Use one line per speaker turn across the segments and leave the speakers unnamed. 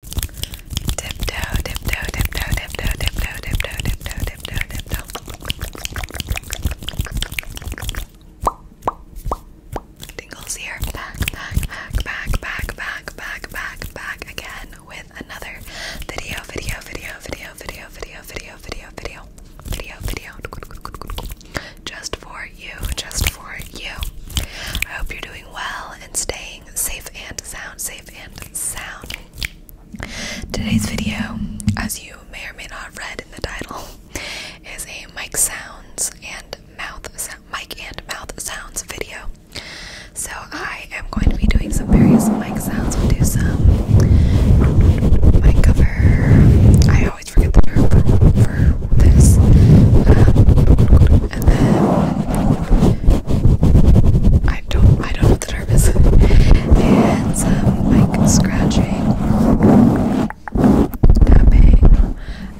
Tiptoe, tiptoe, tiptoe, tiptoe, tiptoe, tiptoe, tiptoe, tiptoe, tiptoe. Tingles here. Back, back, back, back, back, back, back, back, back again with another video, video, video, video, video, video, video, video, video, video, video. Just for you, just for you. I hope you're doing well and staying safe and sound, safe and sound. Today's video, as you may or may not have read in the title, is a mic sounds and mouth mic and mouth sounds video. So I am going to be doing some various mic sounds. We'll do some mic cover. I always forget the term for, this. Um, and then I don't I don't know what the term is. and some like scratching tapping.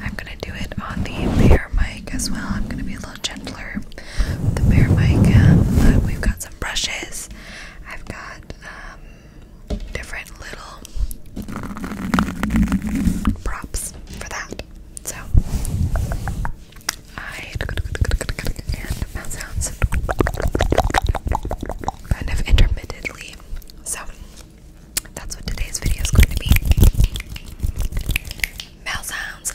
I'm gonna do it on the bear mic as well. I'm gonna be a little gentler with the bear mic. Um, but we've got some brushes. I've got um different little props for that. So I and mouth sounds kind of intermittently. So that's what today's video is going to be. Mouth sounds,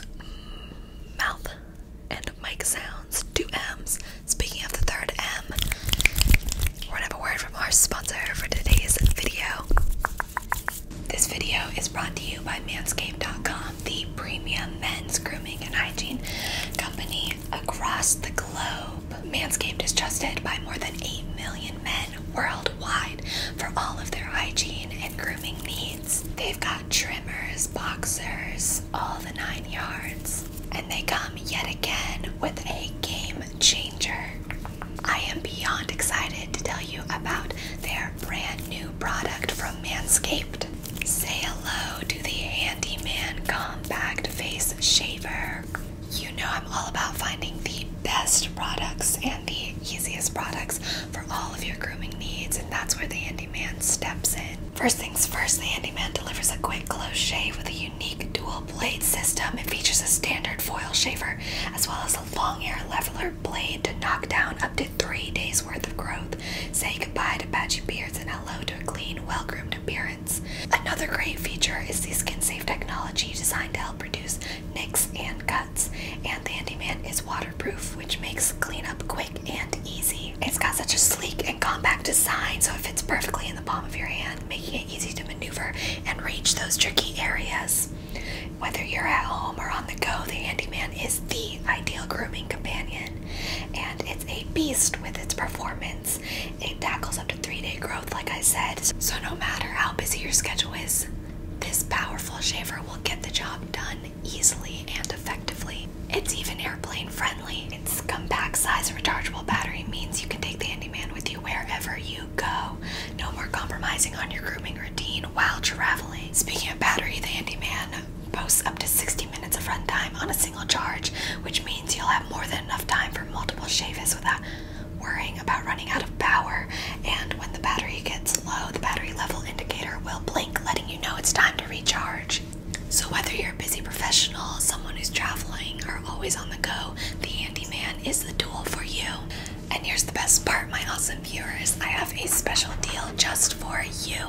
mouth and mic sounds, two M's. Speaking of the third M, we're gonna have a word from our sponsor for today's video. This video is brought to you by Manscaped.com, the premium men's grooming and hygiene company across the globe. Manscaped is trusted by more than 8 million men worldwide for all of their hygiene and grooming needs. They've got trimmers, boxers, all the nine yards. And they come yet again with a game changer. I am beyond excited to tell you about their brand new product from Manscaped. Say hello to the Handyman Compact Face Shaver. You know I'm all about finding the best products and the easiest products for all of your grooming needs, and that's where the Handyman steps in. First things first, the Handyman delivers a quick close shave with a unique dual blade system. It features a standard foil shaver as well as a long hair leveler blade to knock down up to three days worth of growth. Say goodbye to patchy beards and hello to a clean, well groomed appearance. Another great feature is the skin safe technology designed to help reduce nicks and cuts. And the Handyman is waterproof, which makes cleanup quick and easy. It's got such a sleek and compact design, so it fits perfectly in the palm of your hand, making it easy to maneuver and reach those tricky areas. Whether you're at home or on the go, the Handyman is the ideal grooming companion, and it's a beast with its performance. It tackles up to three day growth, like I said, so no matter how busy your schedule is, this powerful shaver will get the job done easily and effectively. It's even airplane friendly. Its compact size rechargeable battery means you can take the Handyman with you wherever you go. No more compromising on your grooming routine while traveling. Speaking of battery, the handyman boasts up to 60 minutes of runtime on a single charge, which means you'll have more than enough time for multiple shaves without worrying about running out of power. And when the battery gets low, the battery level indicator will blink, letting you know it's time to recharge. So, whether you're a busy professional, someone who's traveling, or always on the go, the handyman is the tool for you. And here's the best part, my awesome viewers I have a special deal just for you.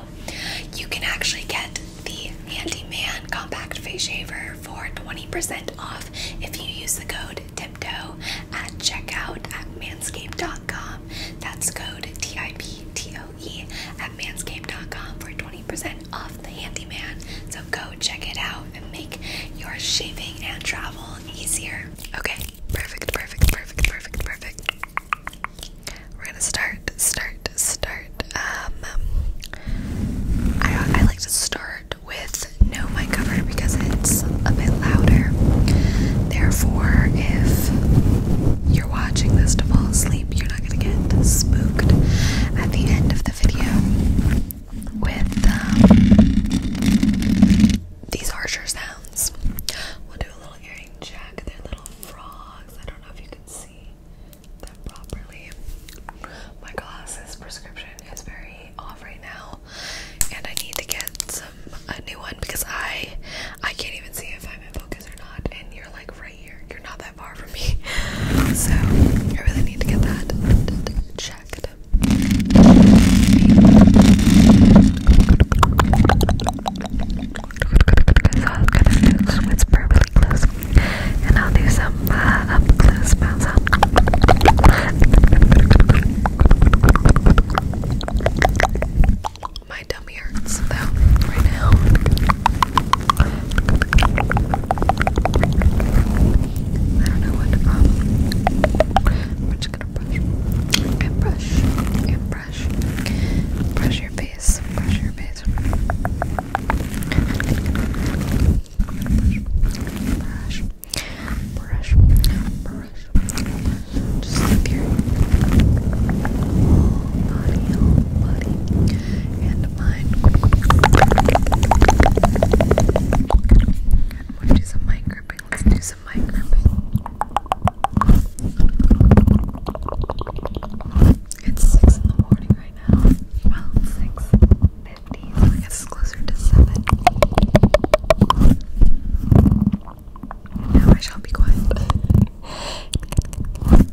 You can actually get the Handyman Compact Face Shaver for 20% off if you use the code TIPTOE at checkout at manscaped.com. That's code T I P T O E at manscaped.com for 20% off the Handyman. So go check it out out and make your shaving and travel easier. Okay, perfect, perfect, perfect, perfect, perfect. We're gonna start, start, start. Um, I, I like to start with no mic cover because it's a bit louder. Therefore, if you're watching this to fall asleep, you're not gonna get spooked at the end of the video with um, these archer sounds. We'll do a little earring check. They're little frogs. I don't know if you can see them properly. My glasses prescription is very off right now, and I need to get some a new one because I I can't even see if I'm in focus or not. And you're like right here. You're not that far so I really need to get that checked. So I'm gonna whisper really close, and I'll do some uh, up close sounds. My tummy hurts though right now. I don't know what to um, We're just gonna brush and brush and brush. Brush your face. Brush your face. Brush. Brush. Brush. Just up your whole body, whole body. And do some mic gripping. do some mic gripping. It's 6 in the morning right now. Well, 6.50, so I guess closer to 7. now I shall be quiet.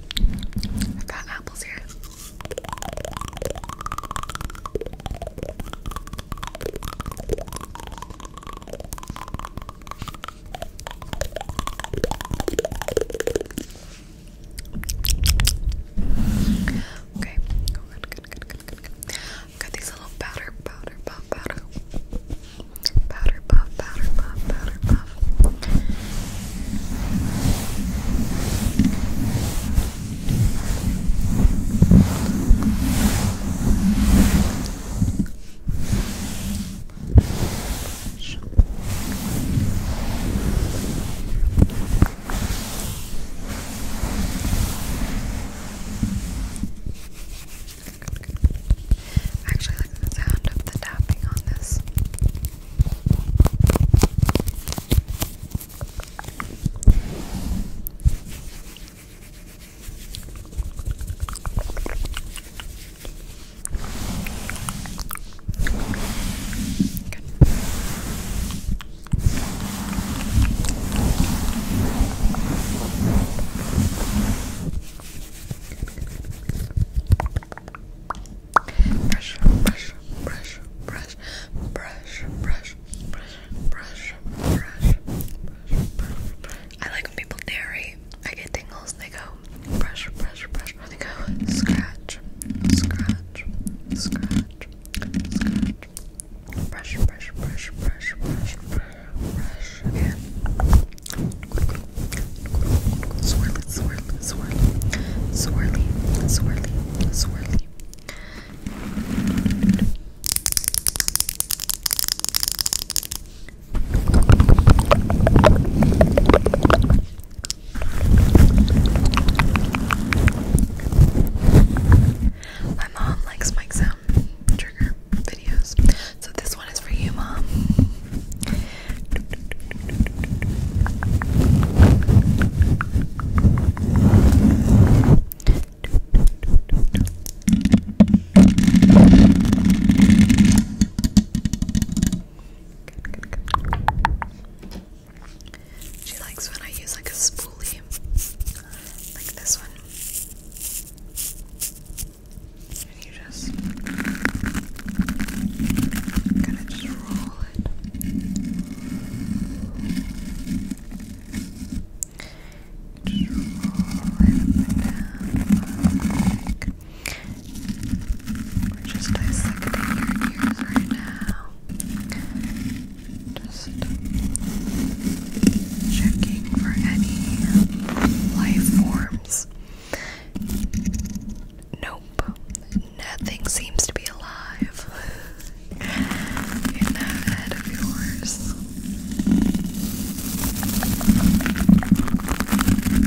I got apples here. Okay, good, good, good, good, good. Got these little powder, powder, powder, powder. Powder puff, powder puff, powder puff. Brush. I actually like the sound of the tapping on this. Good. Brush, brush, brush, brush, brush, brush, brush, brush, brush, brush, I like when people narrate. I get tingles. They go brush, brush, brush. They go scratch, scratch, scratch, scratch. Brush, brush, brush, brush, brush, brush brush and swirl it, swirl it, swirl it, swirly, swirly, swirly. My mom likes Mike's sound trigger. So this one is for you, Mom. She likes when I use like a spoolie, like this one. And you just kind of just roll it. roll it down. Like, we're just dissecting your ears right now. Just checking for any life forms. Nope, nothing seems to be alive in that head of yours.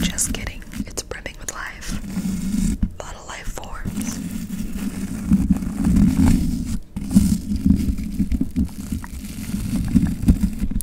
Just kidding, it's brimming with life. A lot of life forms.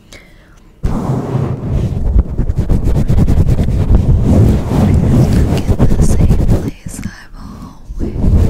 Stuck in the same place I've always been.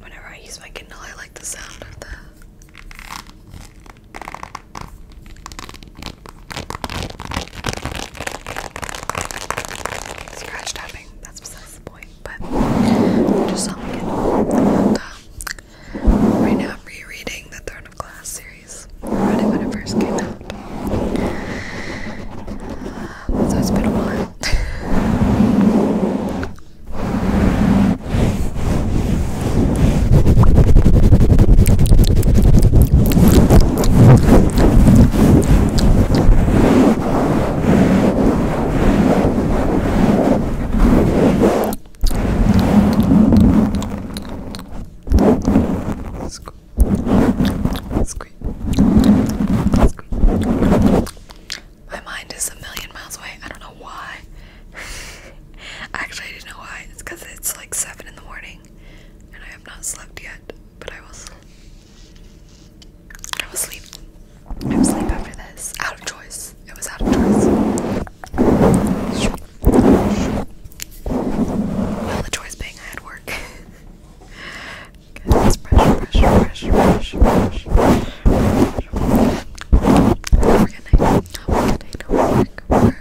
Whenever I use my Kindle, I like the sound of the. Scratch tapping, that's besides the point, but just on my Kindle. Um, right now, I'm rereading the Third of Glass series. I read it when it first came out. So it's been a while. Squeeze. My mind is a million miles away. I don't know why. Actually, I didn't know why. It's because it's like 7 in the morning and I have not slept yet, but I will sleep. I will sleep. I will sleep after this. Out of choice. It was out of choice. Well, the choice being I had work. Cause it's fresh, fresh, fresh, fresh, fresh, fresh. We're gonna, we're gonna work, work, work,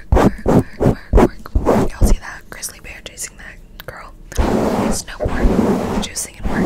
work, work, work. Y'all see that grizzly bear chasing that girl? It's no work, juicing and work.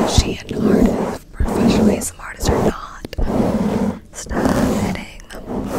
Is she an artist? Professional ASM artist or not? Stop hitting the mic.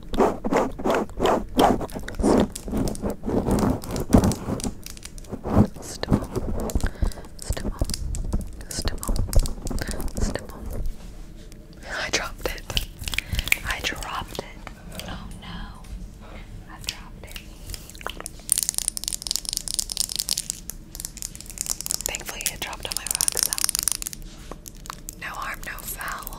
Stipple, stipple, stipple, stipple. I dropped it. I dropped it. Oh no. I dropped it. Thankfully, it dropped on my rug, so no harm, no foul.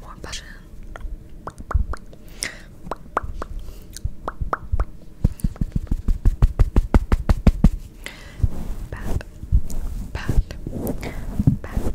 More butter. Pat, pat, pat.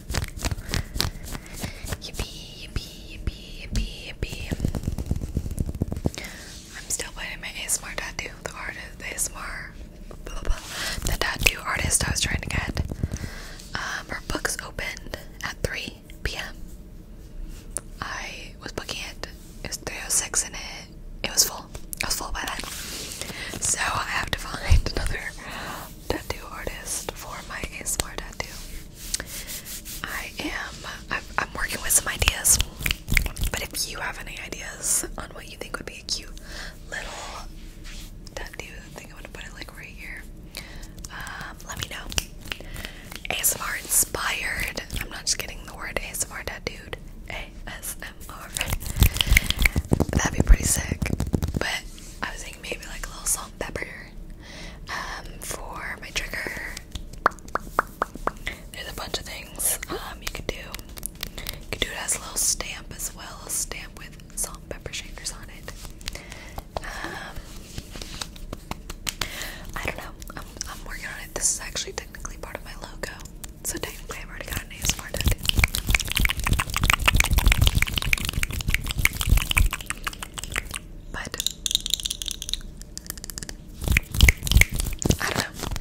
Yippee, yippee, yippee, yippee, yippee. I'm still playing my ASMR tattoo, the artist, the ASMR, the tattoo artist I was trying to get. Um, her book's opened at 3 p.m. I was booking it. It was 306 and it, it was full. I was full by then. So I have to find another tattoo artist for my ASMR tattoo. I am, I'm working with some ideas, but if you have any ideas on what you think would be a cute little tattoo, I think I'm gonna put it like right here. Um, let me know. ASMR inspired. I'm not just getting the word ASMR tattooed. ASMR. That'd be pretty sick. But I was thinking maybe like a little salt pepper um, for my trigger. There's a bunch of things um, you could do. You could do it as a little stamp as well, a stamp with salt pepper shakers on it. Um, I don't know. I'm, I'm working on it. This is actually technically part of my logo, so technically I've already got but I don't know.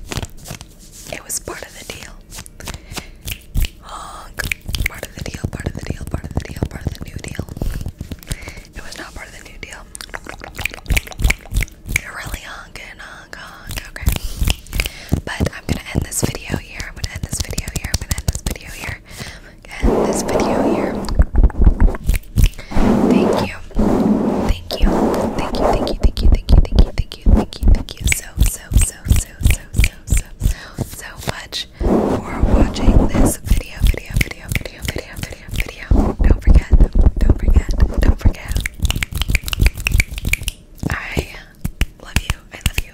It was part of the deal. Oh, part of the deal, part of the deal, part of the deal, part of the new deal. It was not part of the new deal. You're really honking, honk, okay. But I'm gonna end this video here. I'm gonna end this video here. I'm gonna end this video here. End this video here. Thank you. Thank you. Thank you. Thank you. Thank you. Thank you. Thank you. Thank you. Thank you. Thank you so so so so so so so so much for watching this video. Video. Video. Video. Video. Video. Video. Don't forget. Don't forget. Don't forget. I love you. I love you.